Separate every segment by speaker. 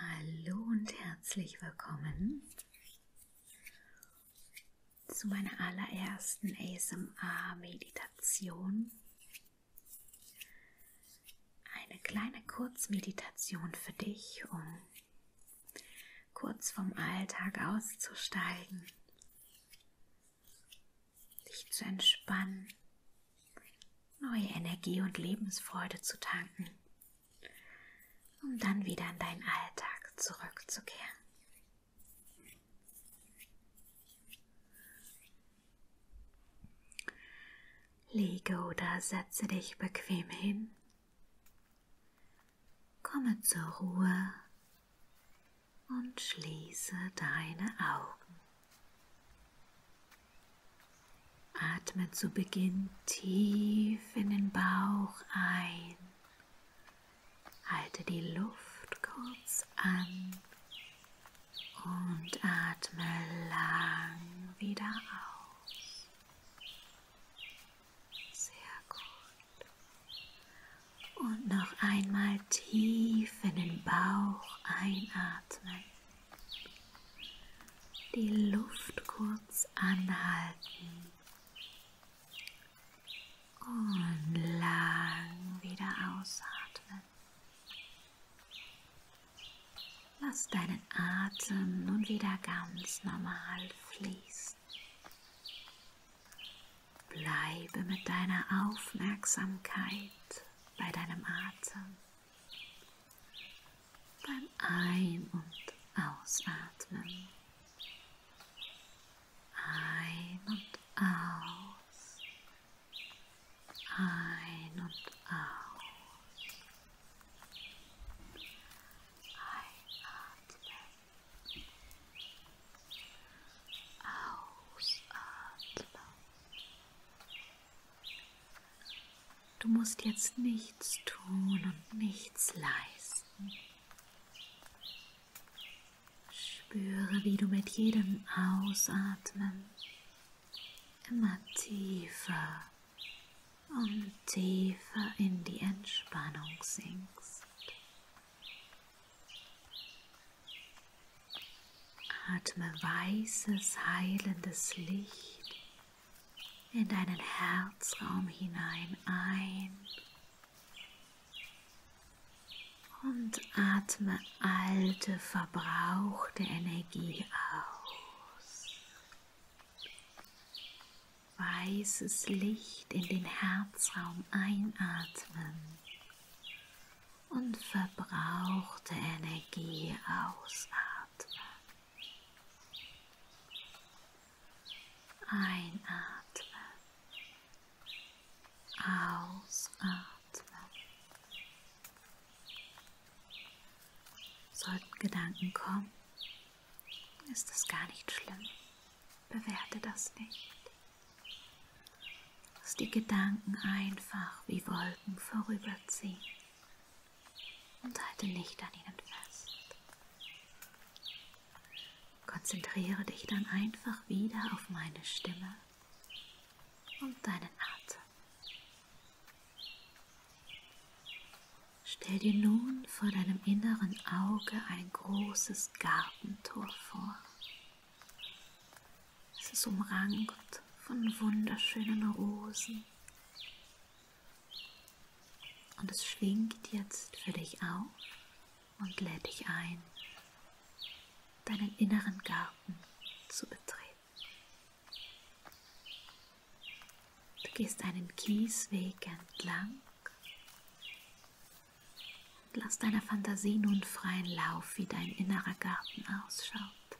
Speaker 1: Hallo und herzlich willkommen zu meiner allerersten ASMR-Meditation. Eine kleine Kurzmeditation für dich, um kurz vom Alltag auszusteigen, dich zu entspannen, neue Energie und Lebensfreude zu tanken um dann wieder in deinen Alltag zurückzukehren. Liege oder setze dich bequem hin. Komme zur Ruhe und schließe deine Augen. Atme zu Beginn tief in den Bauch ein. Halte die Luft kurz an und atme lang wieder aus. Sehr gut. Und noch einmal tief in den Bauch einatmen. Die Luft kurz anhalten und lang wieder ausatmen. Lass deinen Atem nun wieder ganz normal fließen. Bleibe mit deiner Aufmerksamkeit bei deinem Atem. beim Ein- und Ausatmen. Ein und aus. Ein und aus. Einatmen. Ausatmen. Du musst jetzt nichts tun und nichts leisten. Spüre, wie du mit jedem Ausatmen immer tiefer und tiefer in die Entspannung sinkst. Atme weißes, heilendes Licht in deinen Herzraum hinein ein und atme alte, verbrauchte Energie aus. Weißes Licht in den Herzraum einatmen und verbrauchte Energie ausatmen. Einatmen. Ausatmen. Sollten Gedanken kommen, ist das gar nicht schlimm. Bewerte das nicht. Lass die Gedanken einfach wie Wolken vorüberziehen und halte nicht an ihnen fest. Konzentriere dich dann einfach wieder auf meine Stimme und deinen Atem. Stell dir nun vor deinem inneren Auge ein großes Gartentor vor. Es ist umrankt von wunderschönen Rosen und es schwingt jetzt für dich auf und lädt dich ein, deinen inneren Garten zu betreten. Du gehst einen Kiesweg entlang und lass deiner Fantasie nun freien Lauf, wie dein innerer Garten ausschaut.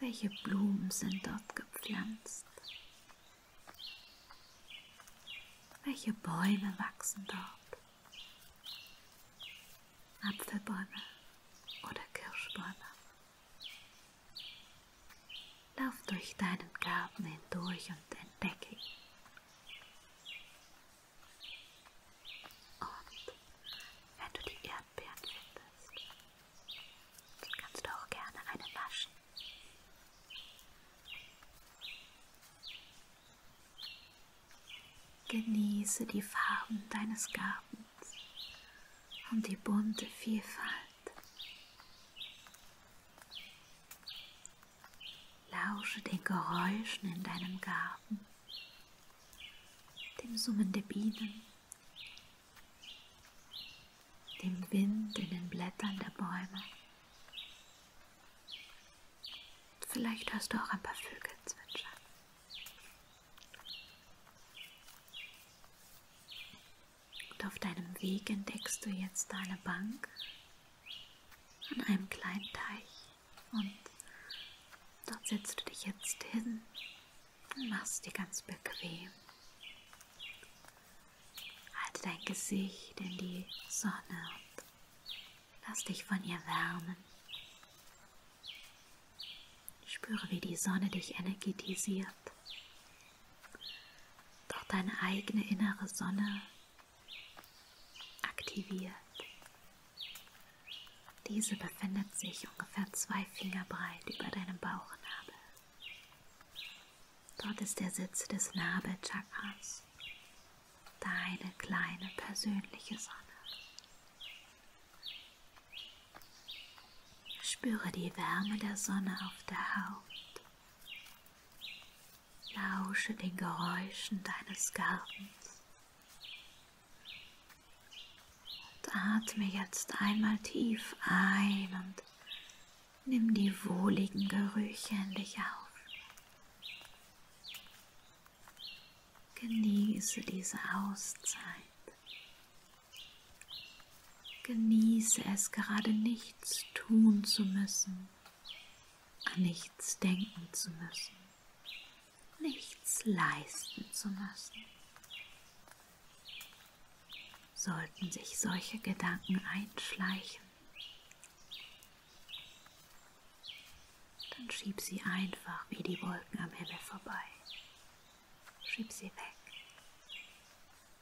Speaker 1: Welche Blumen sind dort gepflanzt? Welche Bäume wachsen dort? Apfelbäume oder Kirschbäume? Lauf durch deinen Garten hindurch und entdecke ihn. Und wenn du die Erdbeeren findest, hast, dann kannst du auch gerne eine waschen. Genieße die Farben deines Gartens und die bunte Vielfalt. Lausche den Geräuschen in deinem Garten, dem Summen der Bienen dem Wind in den Blättern der Bäume. Vielleicht hörst du auch ein paar Vögel zwitschern. Und auf deinem Weg entdeckst du jetzt eine Bank an einem kleinen Teich und dort setzt du dich jetzt hin Mach's dir ganz bequem. Halte dein Gesicht in die Sonne und lass dich von ihr wärmen. Spüre, wie die Sonne dich energetisiert. Doch deine eigene innere Sonne aktiviert, diese befindet sich ungefähr zwei Finger breit über deinem Bauchnabel. Dort ist der Sitz des Nabelchakras, deine kleine persönliche Sonne. Spüre die Wärme der Sonne auf der Haut. Lausche den Geräuschen deines Gartens und atme jetzt einmal tief ein und nimm die wohligen Gerüche in dich auf. Genieße diese Auszeit. Genieße es, gerade nichts tun zu müssen, an nichts denken zu müssen nichts leisten zu müssen. Sollten sich solche Gedanken einschleichen, dann schieb sie einfach wie die Wolken am Himmel vorbei. Schieb sie weg.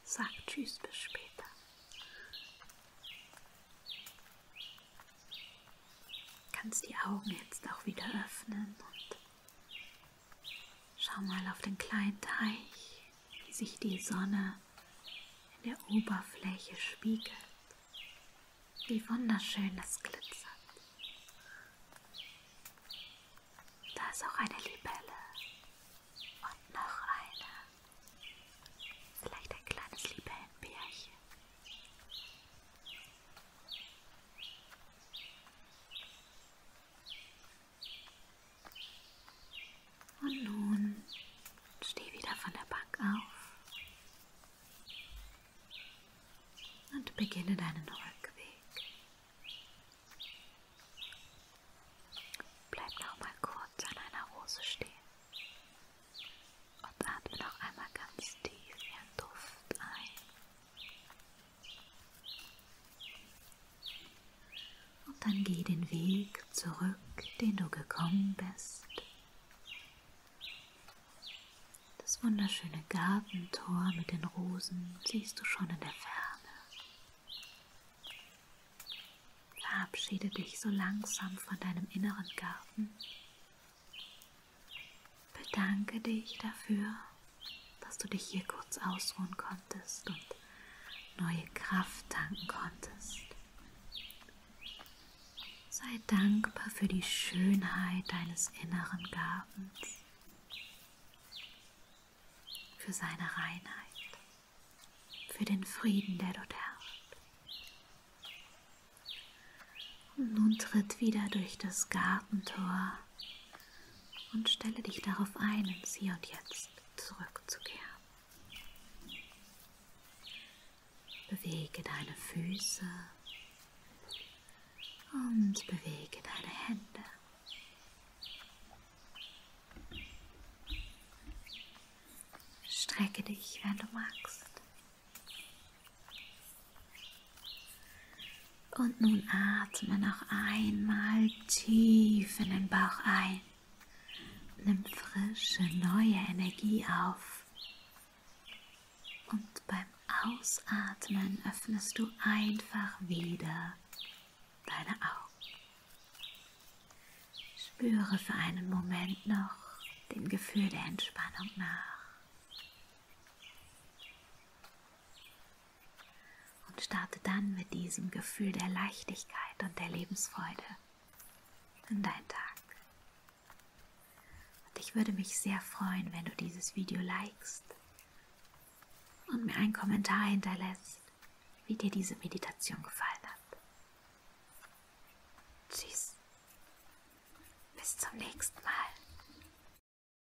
Speaker 1: Sag Tschüss bis später. Kannst die Augen jetzt auch wieder öffnen und Schau mal auf den kleinen Teich, wie sich die Sonne in der Oberfläche spiegelt. Wie wunderschön das glitzert. Da ist auch eine Libelle und noch eine. Vielleicht ein kleines Libellenbärchen. Und nun steh wieder von der Bank auf und beginne deinen Rückweg. Bleib noch mal kurz an einer Rose stehen und atme noch einmal ganz tief ihren Duft ein. Und dann geh den Weg zurück, den du gekommen bist. Das wunderschöne Gartentor mit den Rosen siehst du schon in der Ferne. Verabschiede dich so langsam von deinem inneren Garten Bedanke dich dafür, dass du dich hier kurz ausruhen konntest und neue Kraft tanken konntest. Sei dankbar für die Schönheit deines inneren Gartens, für seine Reinheit, für den Frieden, der dort herrscht. Und nun tritt wieder durch das Gartentor und stelle dich darauf ein, ins Hier und Jetzt zurückzukehren. Bewege deine Füße und bewege deine Hände. Strecke dich, wenn du magst. Und nun atme noch einmal tief in den Bauch ein. Nimm frische, neue Energie auf. Und beim Ausatmen öffnest du einfach wieder deine Augen. Spüre für einen Moment noch dem Gefühl der Entspannung nach und starte dann mit diesem Gefühl der Leichtigkeit und der Lebensfreude in deinen Tag. Und ich würde mich sehr freuen, wenn du dieses Video likest und mir einen Kommentar hinterlässt, wie dir diese Meditation gefallen hat. Tschüss. Bis zum nächsten Mal.